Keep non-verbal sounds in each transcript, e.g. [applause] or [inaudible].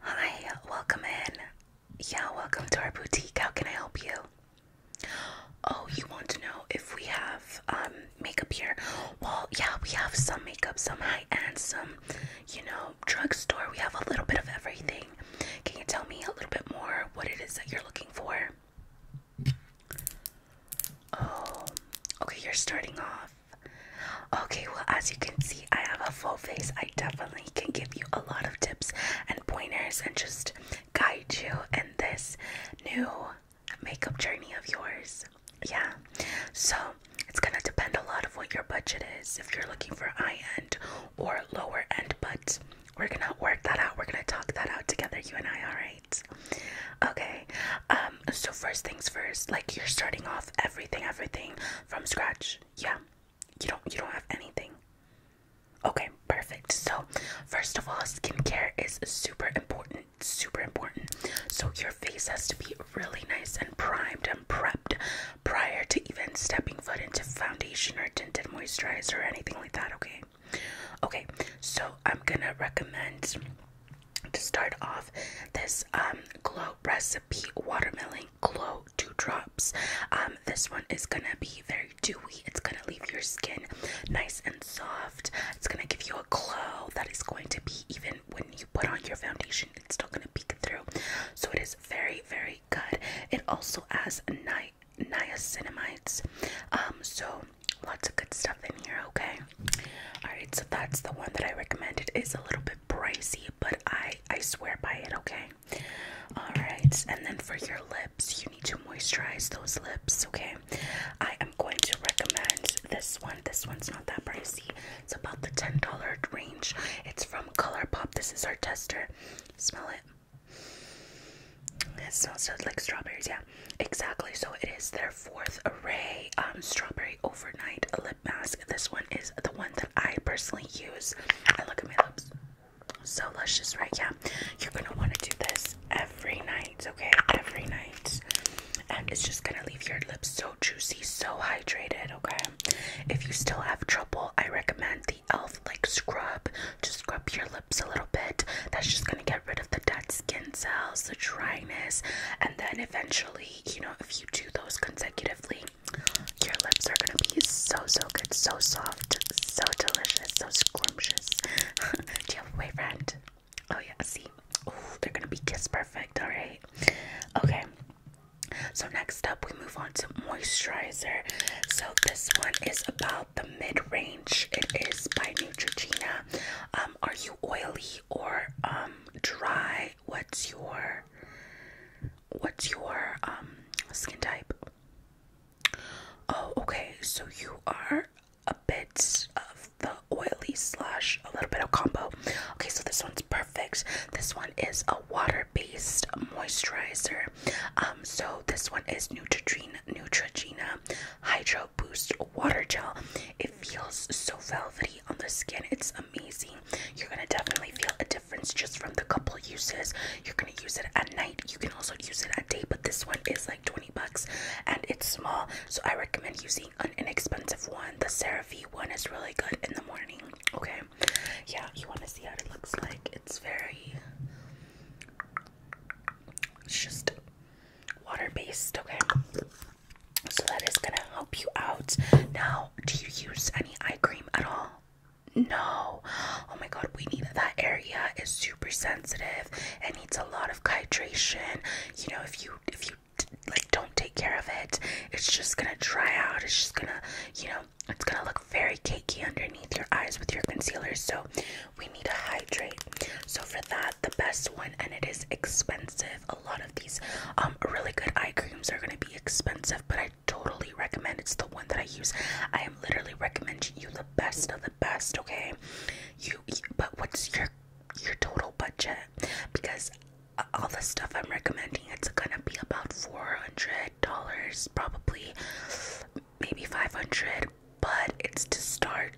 Hi, welcome in. Yeah, welcome to our boutique. How can I help you? Oh, you want to know if we have um, makeup here? Well, yeah, we have some makeup, some high end, some, you know, drugstore. We have a little bit of everything. Can you tell me a little bit more what it is that you're looking for? Oh, okay, you're starting off. Okay, well, as you can see, I have a full face. I definitely can give you a lot of tips and pointers and just guide you in this new makeup journey of yours. Yeah, so it's gonna depend a lot of what your budget is if you're looking for high end or lower end, but we're gonna work that out. We're gonna talk that out together, you and I, alright? Okay, um, so first things first, like you're starting off everything, everything from scratch. Yeah. You don't you don't have anything. Okay, perfect. So, first of all, skincare is super important, super important. So, your face has to be really nice and primed and prepped prior to even stepping foot into foundation or tinted moisturizer or anything like that, okay? Okay, so I'm gonna recommend to start off this um glow recipe watermelon glow dew drops um this one is gonna be very dewy it's gonna leave your skin nice and soft it's gonna give you a glow that is going to be even when you put on your foundation it's still gonna peek through so it is very very good it also has ni niacinamides um so lots of good stuff in here okay all right so that's the one that i recommended it's a little bit pricey but i i swear by it okay all right and then for your lips you need to moisturize those lips okay i am going to recommend this one this one's not that pricey it's about the ten dollar range it's from colourpop this is our tester smell it it smells like strawberries yeah exactly so it is their fourth array um, strawberry overnight lip mask. This one is the one that I personally use. I look at my lips. So luscious, right? Yeah. You're gonna want to do this every night, okay? Every night. And it's just gonna leave your lips so juicy, so hydrated, okay? If you still have trouble, I recommend the e.l.f. like scrub. Just scrub your lips a little bit. That's just gonna get rid of the dead skin cells, the dryness, and then eventually you know, if you do those consecutively, your lips are gonna be so, so good, so soft, so delicious, so scrumptious. [laughs] do you have a boyfriend? Oh, yeah, see, Ooh, they're gonna be kiss perfect, all right? Okay, so next up, we move on to moisturizer. So, this one is about the mid range, it is by Neutrogena. Um, are you oily or um, dry what's your what's your um skin type oh okay so you are a bit of the oily slash a little bit of combo okay so this one's perfect this one is a water-based moisturizer um so this one is neutrogena hydro boost water gel. It feels so velvety on the skin. It's amazing. You're gonna definitely feel a difference just from the couple uses. You're gonna use it at night. You can also use it at day, but this one is like 20 bucks and it's small. So I recommend using an inexpensive one. The CeraVe one is really good in the morning. Okay. Yeah, you wanna see how it looks like. It's very it's just water based, okay. So that is gonna help you out. Now, do you use any eye cream at all? No. Oh my god, we need that area is super sensitive. It needs a lot of hydration. You know, if you if you like don't take care of it, it's just gonna dry out. It's just gonna, you know, it's gonna look very cakey underneath your eyes with your concealer. So we need to hydrate. So for that, the best one, and it is expensive a lot of these um, really good eye creams are going to be expensive but i totally recommend it's the one that i use i am literally recommending you the best of the best okay you, you but what's your your total budget because uh, all the stuff i'm recommending it's gonna be about 400 dollars probably maybe 500 but it's to start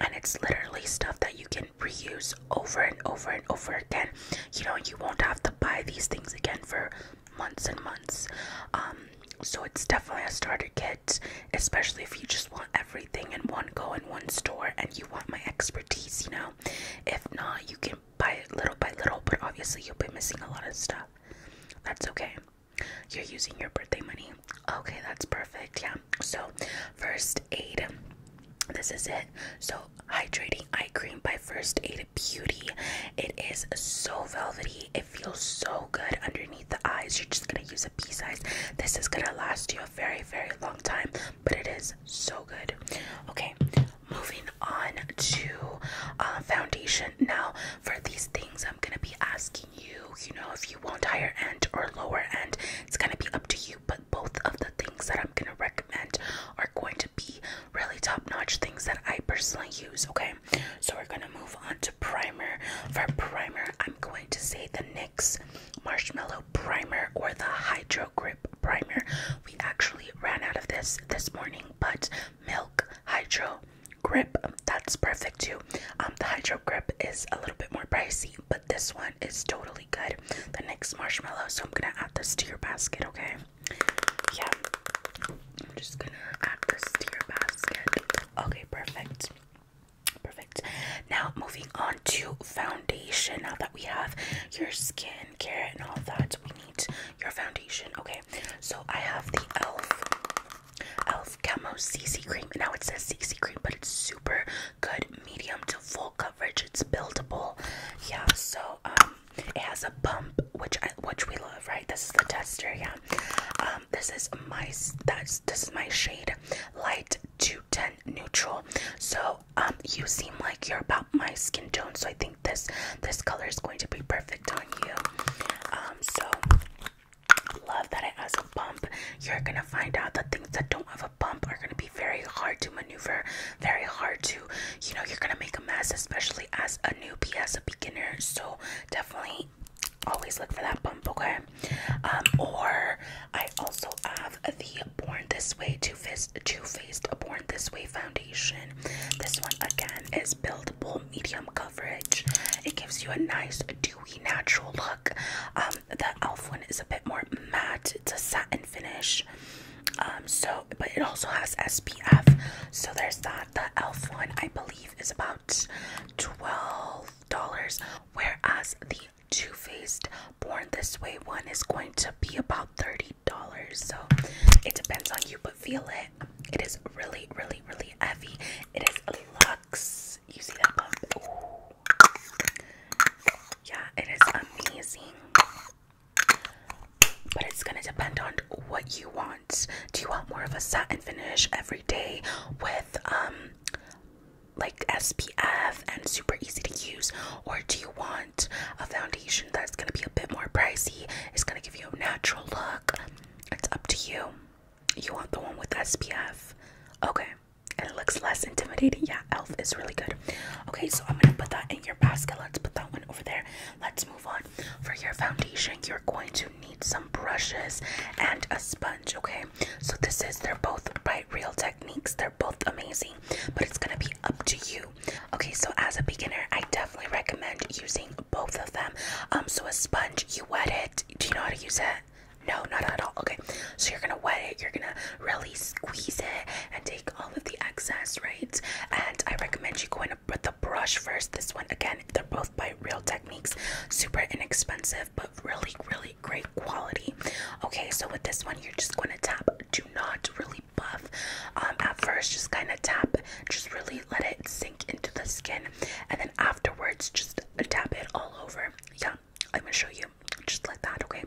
and it's literally stuff that you can reuse over and over and over again. You know, you won't have to buy these things again for months and months. Um, so it's definitely a starter kit, especially if you just want everything in one go in one store and you want my expertise, you know. If not, you can buy it little by little, but obviously you'll be missing a lot of stuff. That's okay. You're using your birthday money. Okay, that's perfect. Yeah. So, first aid. This is it. So, hydrating eye cream by First Aid Beauty. It is so velvety. It feels so good underneath the eyes. You're just gonna use a pea size. This is gonna last you a very, very long time, but it is so good. Okay, moving on to uh, foundation. Now, for these things, I'm gonna be asking you, you know, if you you want higher end or lower end, it's gonna be up to you. But both of the things that I'm gonna recommend are going to be really top notch things that I personally use. Okay, so we're gonna move on to primer. For primer, I'm going to say the NYX Marshmallow Primer or the Hydro Grip Primer. We actually ran out of this this morning, but Milk Hydro grip that's perfect too um the hydro grip is a little bit more pricey this one is totally good. The next marshmallow, so I'm gonna add this to your basket, okay? Yeah, I'm just gonna add this to your basket. Okay, perfect. Perfect. Now, moving on to foundation. Now that we have your skincare and all that, we need your foundation. Okay, so I have the e.l.f. e.l.f. Elf CC Cream. now it says CC Cream, but it's super good, medium to full coverage. It's buildable. Yeah, so um, it has a bump, which I, which we love, right? This is the tester. Yeah, um, this is my that's this is my shade, light to ten neutral. So um, you seem like you're about my skin tone, so I think this this color is going to be perfect on you. Um, so Love that it has a bump. You're gonna find out that things that don't have a bump are gonna be very hard to maneuver, very hard to, you know, you're gonna make a mess, especially as a newbie, as a beginner. So definitely always look for that bump, okay? Um, or I also have the Born This Way Two Faced Two Faced Born This Way foundation. This one again is buildable medium coverage. It gives you a nice dewy natural look um, the elf one is a bit more matte. It's a satin finish. Um, so, but it also has SPF. So there's that. The elf one, I believe, is about twelve dollars, whereas the Too Faced Born This Way one is going to be about thirty dollars. So it depends on you, but feel it. It is really, really, really heavy. It is a lot. Yeah, it is amazing. But it's gonna depend on what you want. Do you want more of a satin finish every day with um like SPF and super easy to use, or do you want a foundation that's gonna be a bit more pricey? It's gonna give you a natural look. It's up to you. You want the one with SPF? Okay. And it looks less intimidating. Yeah, Elf is really good. Okay, so I'm gonna put that in your basket. Let's put that one over there. Let's move on. For your foundation, you're going to need some brushes and a sponge. Okay, so this is they're both by Real Techniques. They're both amazing, but it's gonna be up to you. Okay, so as a beginner, I definitely recommend using both of them. Um, so a sponge, you wet it. Do you know how to use it? that? No, not at all. Okay, so you're gonna wet it, you're gonna really squeeze it and take all of the excess, right? And I recommend you going with the brush first. This one, again, they're both by Real Techniques, super inexpensive, but really, really great quality. Okay, so with this one, you're just gonna tap, do not really buff um, at first, just kind of tap, just really let it sink into the skin, and then afterwards, just tap it all over. Yeah, I'm gonna show you just like that, okay?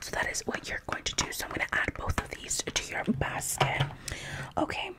So that is what you're going to do. So I'm gonna add both of these to your basket. Okay.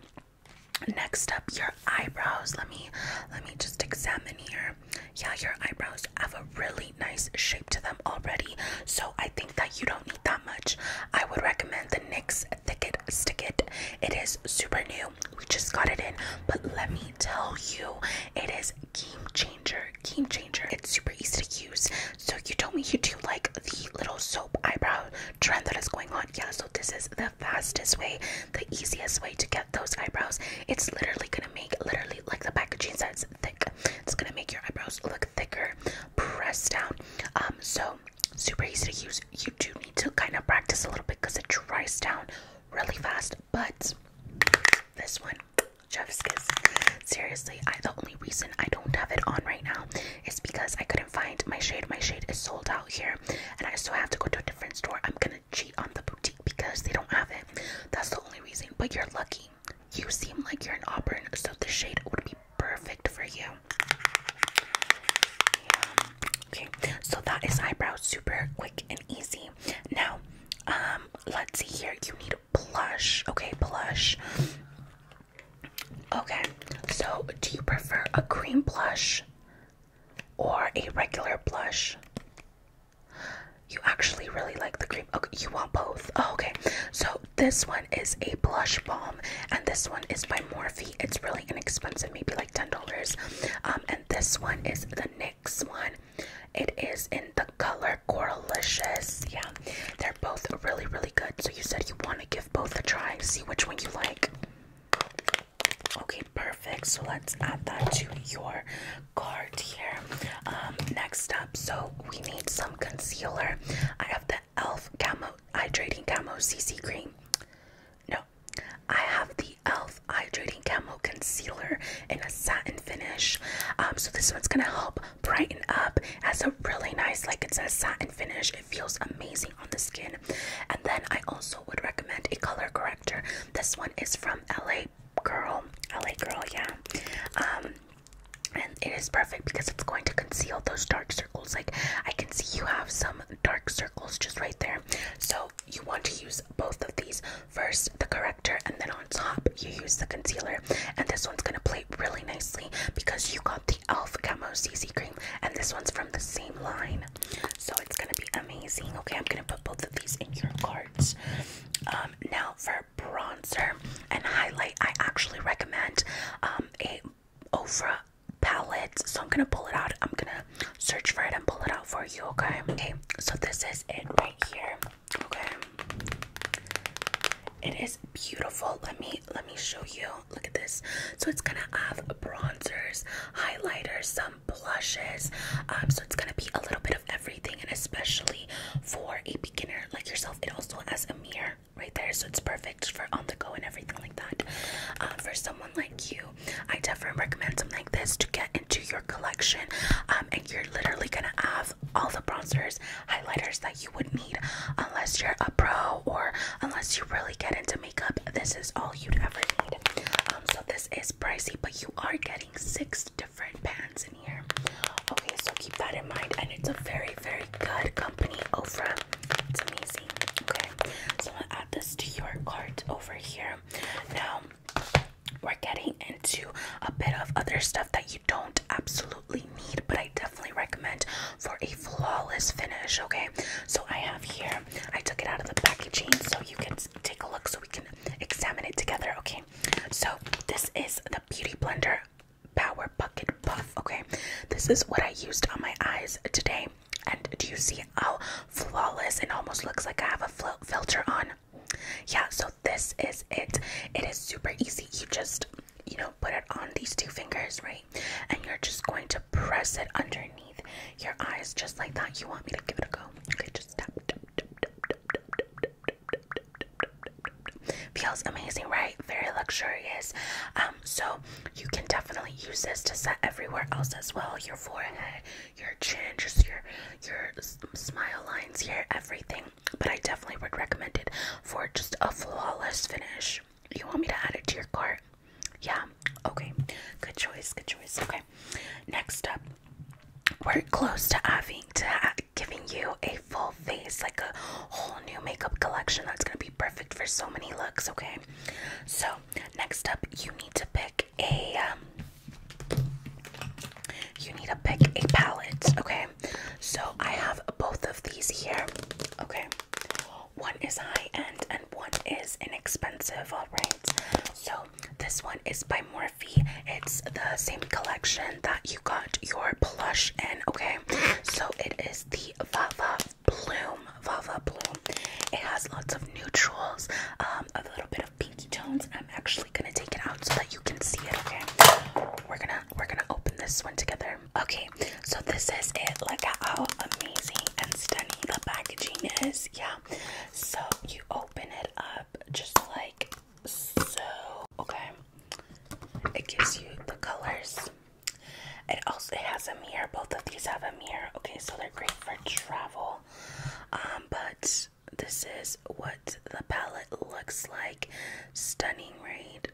Next up, your eyebrows. Let me let me just examine here. Yeah, your eyebrows have a really nice shape to them already. So I think that you don't need that much. I would recommend the NYX thick stick it. It is super new. We just got it in, but let me tell you, it is game changer, game changer. It's super easy to use. So you told me you do like the little soap eyebrow trend that is going on. Yeah, so this is the fastest way, the easiest way to get those eyebrows. It's literally gonna make literally like the packaging says thick. It's gonna make your eyebrows look thicker, Press down. Um, so super easy to use. You do need to kind of practice a little bit because it dries down really fast. But this one, chef's kiss. Seriously, I the only reason I don't have it on right now is because I couldn't find my shade. My shade is sold out here, and I still have to go to a different store. I'm gonna cheat on the boutique because they don't have it. That's the only reason. But you're lucky. You seem like you're in Auburn, so the shade would be perfect for you. Okay, so that is eyebrows, super quick and easy. Now, um, let's see here. You need blush. Okay, blush. Okay, so do you prefer a cream blush or a regular blush? You actually really like the cream. Okay, you want both. Oh, okay, so this one is a blush balm. Um, and this one is by Morphe. It's really inexpensive, maybe like ten dollars. Um, and this one is the NYX one. It is in the color Coralicious. Yeah, they're both really, really good. So you said you want to give both a try, see which one you like. Okay, perfect. So let's add that to your card here. Um, next up, so we need some concealer. I have the e.l.f. Camo Hydrating Camo CC Cream. No, I have the e.l.f. Hydrating Camo Concealer in a satin finish. Um, so this one's gonna help brighten up. It a really nice, like it's a satin finish. It feels amazing on the skin. And then I also would recommend a color corrector. This one is from LA Girl. LA Girl, yeah. Um, and it is perfect because it's going to conceal those dark circles. Like I can see you have some dark circles just right there. So you want to use both of these. First the corrector and then on top you use the concealer. And this one's gonna play really nicely because you got the e.l.f. Camo CC cream and this one's from the same line. So it's gonna be amazing. Okay, I'm gonna put both of these in your cards. Um, now for bronzer and highlight, I actually recommend um, a Ofra palette. So I'm gonna pull it out. I'm gonna search for it and pull it out for you, okay? Okay, so this is it right here. Okay. It is beautiful. Let me let me show you. Look at this. So it's gonna have bronzers, highlighters, some blushes. Um, so it's gonna be a little bit of everything, and especially for a beginner like yourself, it also has a mirror right there so it's perfect for on the go and everything like that uh, for someone like you i definitely recommend something like this to get into your collection um, and you're literally gonna have all the bronzers highlighters that you would need unless you're a pro or unless you really get into makeup this is all you'd ever need um, so this is pricey but you are getting six different pans in here okay so keep that in mind and it's a very very good company Ofra it's amazing. Okay, so I'm gonna add this to your cart over here. Now we're getting into a bit of other stuff that you don't absolutely need, but I definitely recommend for a flawless finish. Okay, so I have here, I took it out of the packaging so you can take a look so we can examine it together. Okay, so this is the Beauty Blender Power Bucket Puff. Okay, this is what I used on my eyes today. And do you see how flawless it almost looks like I have a fil filter on? Yeah, so this is it. It is super easy. You just, you know, put it on these two fingers, right? And you're just going to press it underneath your eyes just like that. You want me to give it a go? Okay, just tap, tap, tap, tap, tap, tap, tap, tap, tap, tap, Feels amazing, right? Very luxurious. Um, so you can definitely use this to set everywhere else as well. Your forehead, your chin, just your your smile lines here, everything. But I definitely would recommend it for just a flawless finish. You want me to add it to your cart? Yeah. Okay. Good choice. Good choice. Okay. Next up, we're close to having to giving you a full face, like a whole new makeup collection that's gonna be perfect for so many looks, okay? So, next up, you need to pick a. Um, you need to pick a palette, okay? So, I have both of these here, okay? One is high end and one is inexpensive, alright? So, this one is by Morphe. It's the same collection that you you got your plush, and okay? So it is the Vava Bloom. Vava Bloom. It has lots of neutrals, um, a little bit of pinky tones. I'm actually gonna take it out so that you can see it, okay? We're gonna we're gonna open this one together. Okay, so this is it. Look at how amazing and stunning the packaging is. Yeah. So you open it up just like so okay it gives you the colors it also it has a mirror both of these have a mirror okay so they're great for travel um but this is what the palette looks like stunning right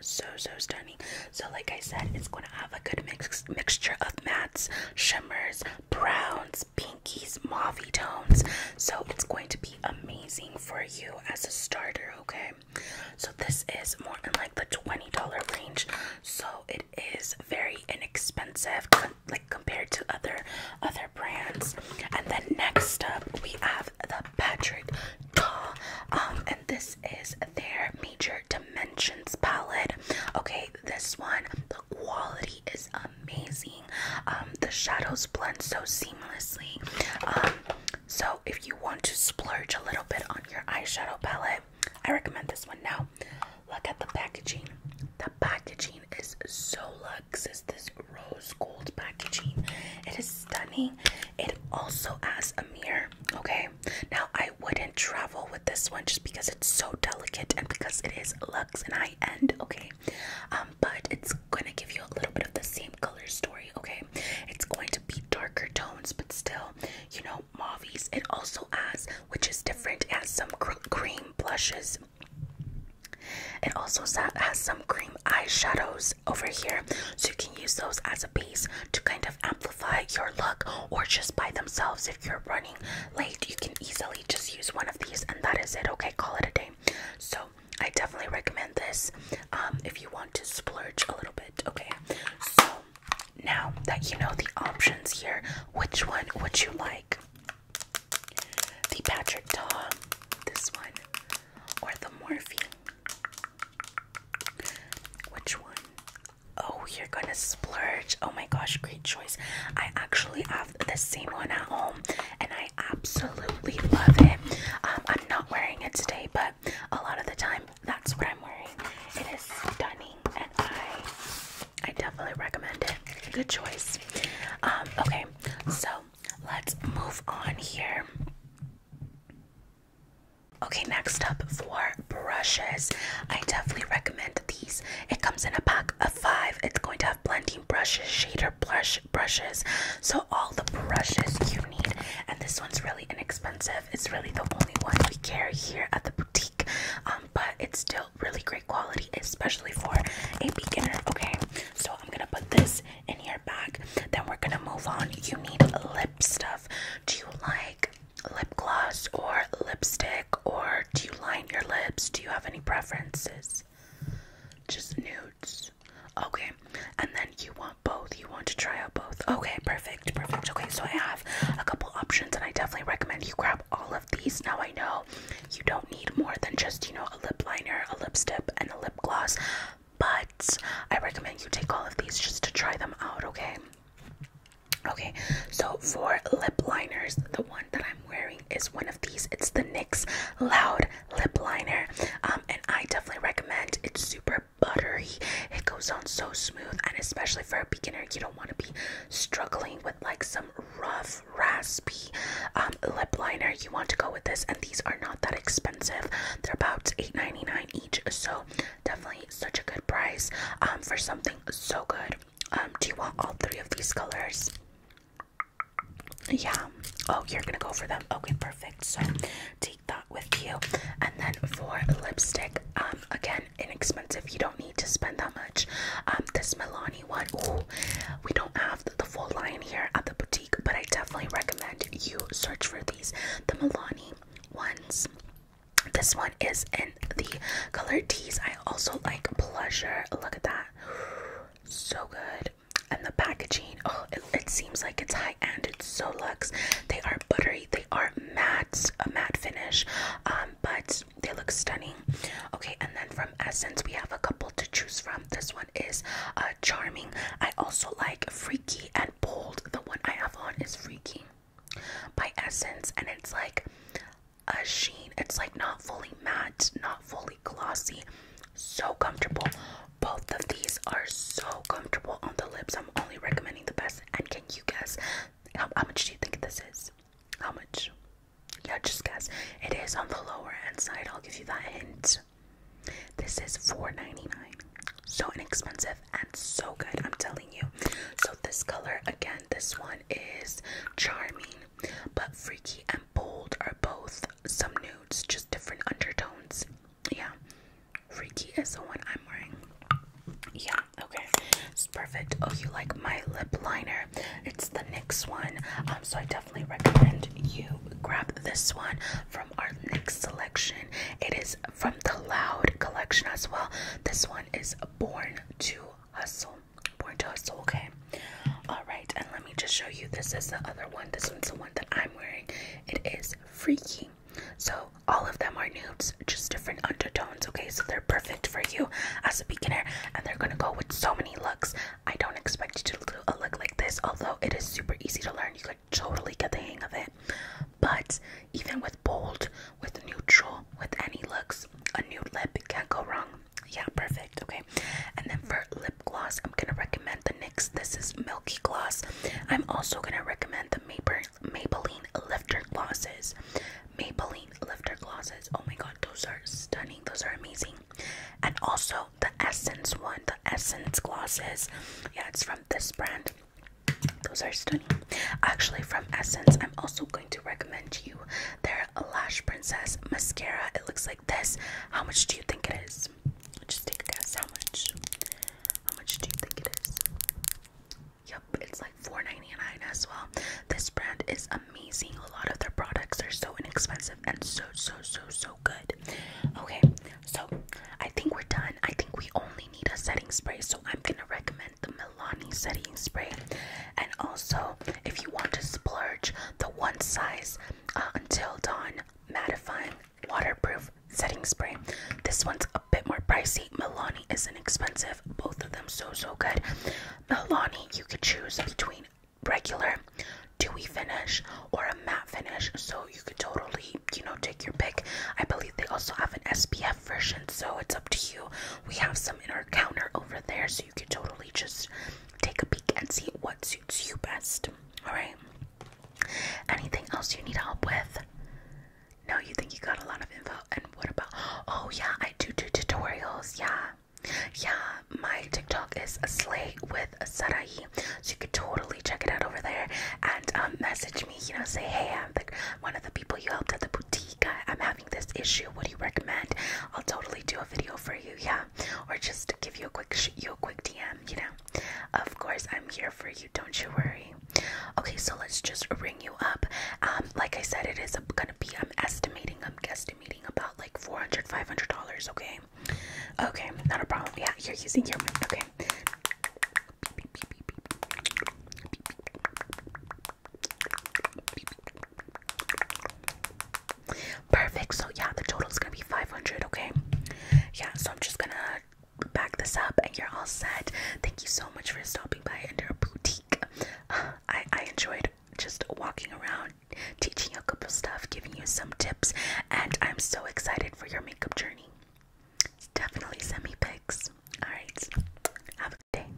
so so stunning so like i said it's going to have a good mix mixture of mattes shimmers browns pinkies mauvey tones so it's going to be amazing for you as a starter okay so this is more in like the $20 range so it is very inexpensive like compared to other other brands and then next up we have the Patrick Doll um, and this is their major dimensions palette okay this one the quality is amazing um the shadows blend so seamlessly um, so if you want to splurge a little bit on your eyeshadow palette, I recommend this one. Now, look at the packaging. The packaging is so luxe. It's this rose gold packaging. It is stunning. It also has a mirror. Okay. Now I wouldn't travel with this one just because it's so delicate and because it is luxe and high end. Okay. Um, um, but it's gonna give you a little bit of the same color story, okay? It's going to be darker tones, but still, you know, mauves. It also has, which is different, as some cream blushes. It also has some cream eyeshadows over here, so you can use those as a base to kind of amplify your look, or just by themselves. If you're running late, you can easily just use one of these, and that is it. Okay, call it a day. So I definitely recommend this um, if you want to splurge a little bit. Okay, so now that you know the options here, which one would you like? The Patrick Tom, this one, or the Morphe? Which one? Oh, you're gonna splurge. Oh my gosh, great choice. I actually have the same one at home and I absolutely love it. Um, I'm not wearing it today, but a lot of the time that's what I'm wearing. It is stunning, and I I definitely recommend it. Good choice. Um, okay, so let's move on here. Okay, next up for brushes, I definitely recommend these. It comes in a pack of five. It's going to blending brushes, shader brush brushes, so all the brushes you need. And this one's really inexpensive. It's really the only one we carry here at the boutique, um, but it's still really great quality, especially for a beginner. Okay, so I'm gonna put this in your bag. Then we're gonna move on. You need lip stuff. Do you like? lip gloss or lipstick or do you line your lips do you have any preferences just nudes Okay, and then you want both. You want to try out both. Okay, perfect, perfect. Okay, so I have a couple options, and I definitely recommend you grab all of these. Now I know you don't need more than just, you know, a lip liner, a lipstick, and a lip gloss, but I recommend you take all of these just to try them out, okay? Okay, so for lip liners, the one that I'm wearing is one of these. It's the NYX Loud Lip Liner, um, and I definitely recommend. It's super buttery. It goes on so smooth, and especially for a beginner, you don't want to be struggling with like some rough, raspy um, lip liner. You want to go with this, and these are not that expensive. They're about $8.99 each, so definitely such a good price um, for something so good. do you want all three of these colors? Yeah. Oh, you're gonna go for them. Okay, perfect. So take that with you. And then for lipstick, um, again, inexpensive. You don't need to spend that much. Um, this Milani one, ooh, we don't have the, full line here at the boutique, but I definitely recommend you search for these. The Milani ones. This one is in the color teas. I also like pleasure. Look at that. So good. And the packaging, oh, it, it seems like it's high end. It's so luxe. They are buttery. They are matte, a matte finish, um, but they look stunning. Okay, and then from Essence, we have a couple to choose from. This one is uh, charming. I also like Freaky and Bold. The one I have on is Freaky by Essence, and it's like a sheen. It's like not fully matte, not fully glossy so comfortable both of these are so comfortable on the lips i'm only recommending the best and can you guess how much do you think this is how much yeah just guess it is on the lower end side i'll give you that hint this is 4.99 so inexpensive and so good i'm telling you so this color again this one is charming but freaky and bold are both some nudes, just different undertones. Yeah. Freaky is the one I'm wearing. Yeah, okay. It's perfect. Oh, you like my lip liner. It's the NYX one. Um, so I definitely recommend you grab this one from our NYX selection. It is from the Loud collection as well. This one is Born to Hustle. Born to us, okay. Alright, and let me just show you. This is the other one. This one's the one that I'm wearing. It is freaky. So all of them are nudes, just different undertones, okay? So they're perfect for you as a beginner, and they're gonna go with so many looks. I don't expect you to do a look like this, although it is super easy to learn. You could totally get the hang of it. But even with bold, with neutral, with any looks, a nude lip can't go wrong. Yeah, perfect. Okay. And then for lip gloss, I'm gonna recommend the NYX. This is Milky Gloss. I'm also gonna recommend the Maybelline Lifter Glosses. Maybelline Lifter Glosses. Oh my god, those are stunning. Those are amazing. And also the Essence one, the Essence Glosses. Yeah, it's from this brand. Those are stunning. Actually, from Essence, I'm also going to recommend you their Lash Princess mascara. It looks like this. How much do you think it is? Just take a guess. How much? How much do you think it is? Yep, it's like $4.99 as well. This brand is amazing. A lot of their products are so inexpensive and so, so, so, so good. Okay, so I think we're done. I think we only need a setting spray, so I'm gonna recommend the Milani setting spray. And also, if you want to splurge, the one size uh, Until Dawn mattifying waterproof setting spray. This one's a bit more pricey. Milani isn't expensive. Both of them so so good. Milani, you could choose between regular dewy finish or a matte finish, so you could totally, you know, take your pick. I believe they also have an SPF version, so it's up to you. We have some in our counter over there, So you can totally just take a peek and see what suits you best. Alright? Anything else you need help with? No, you think you got a lot of info. And what about? Oh, yeah, I do do tutorials. Yeah. Yeah, my TikTok is a slay with Sarai. So you could totally check it out over there and um, message me, you know, say, hey, I'm one of the people you helped at the boutique. I, am happy this issue what do you recommend i'll totally do a video for you yeah or just give you a quick you a quick dm you know of course i'm here for you don't you worry okay so let's just ring you up like i said it is gonna be i'm estimating i'm guesstimating about like 400 500 dollars okay okay not a problem yeah you're using your money okay Perfect. So yeah, the total is gonna be 500. Okay. Yeah. So I'm just gonna back this up, and you're all set. Thank you so much for stopping by Under Boutique. [sighs] I I enjoyed just walking around, teaching you a couple stuff, giving you some tips, and I'm so excited for your makeup journey. Definitely send me pics. All right. Have a good day.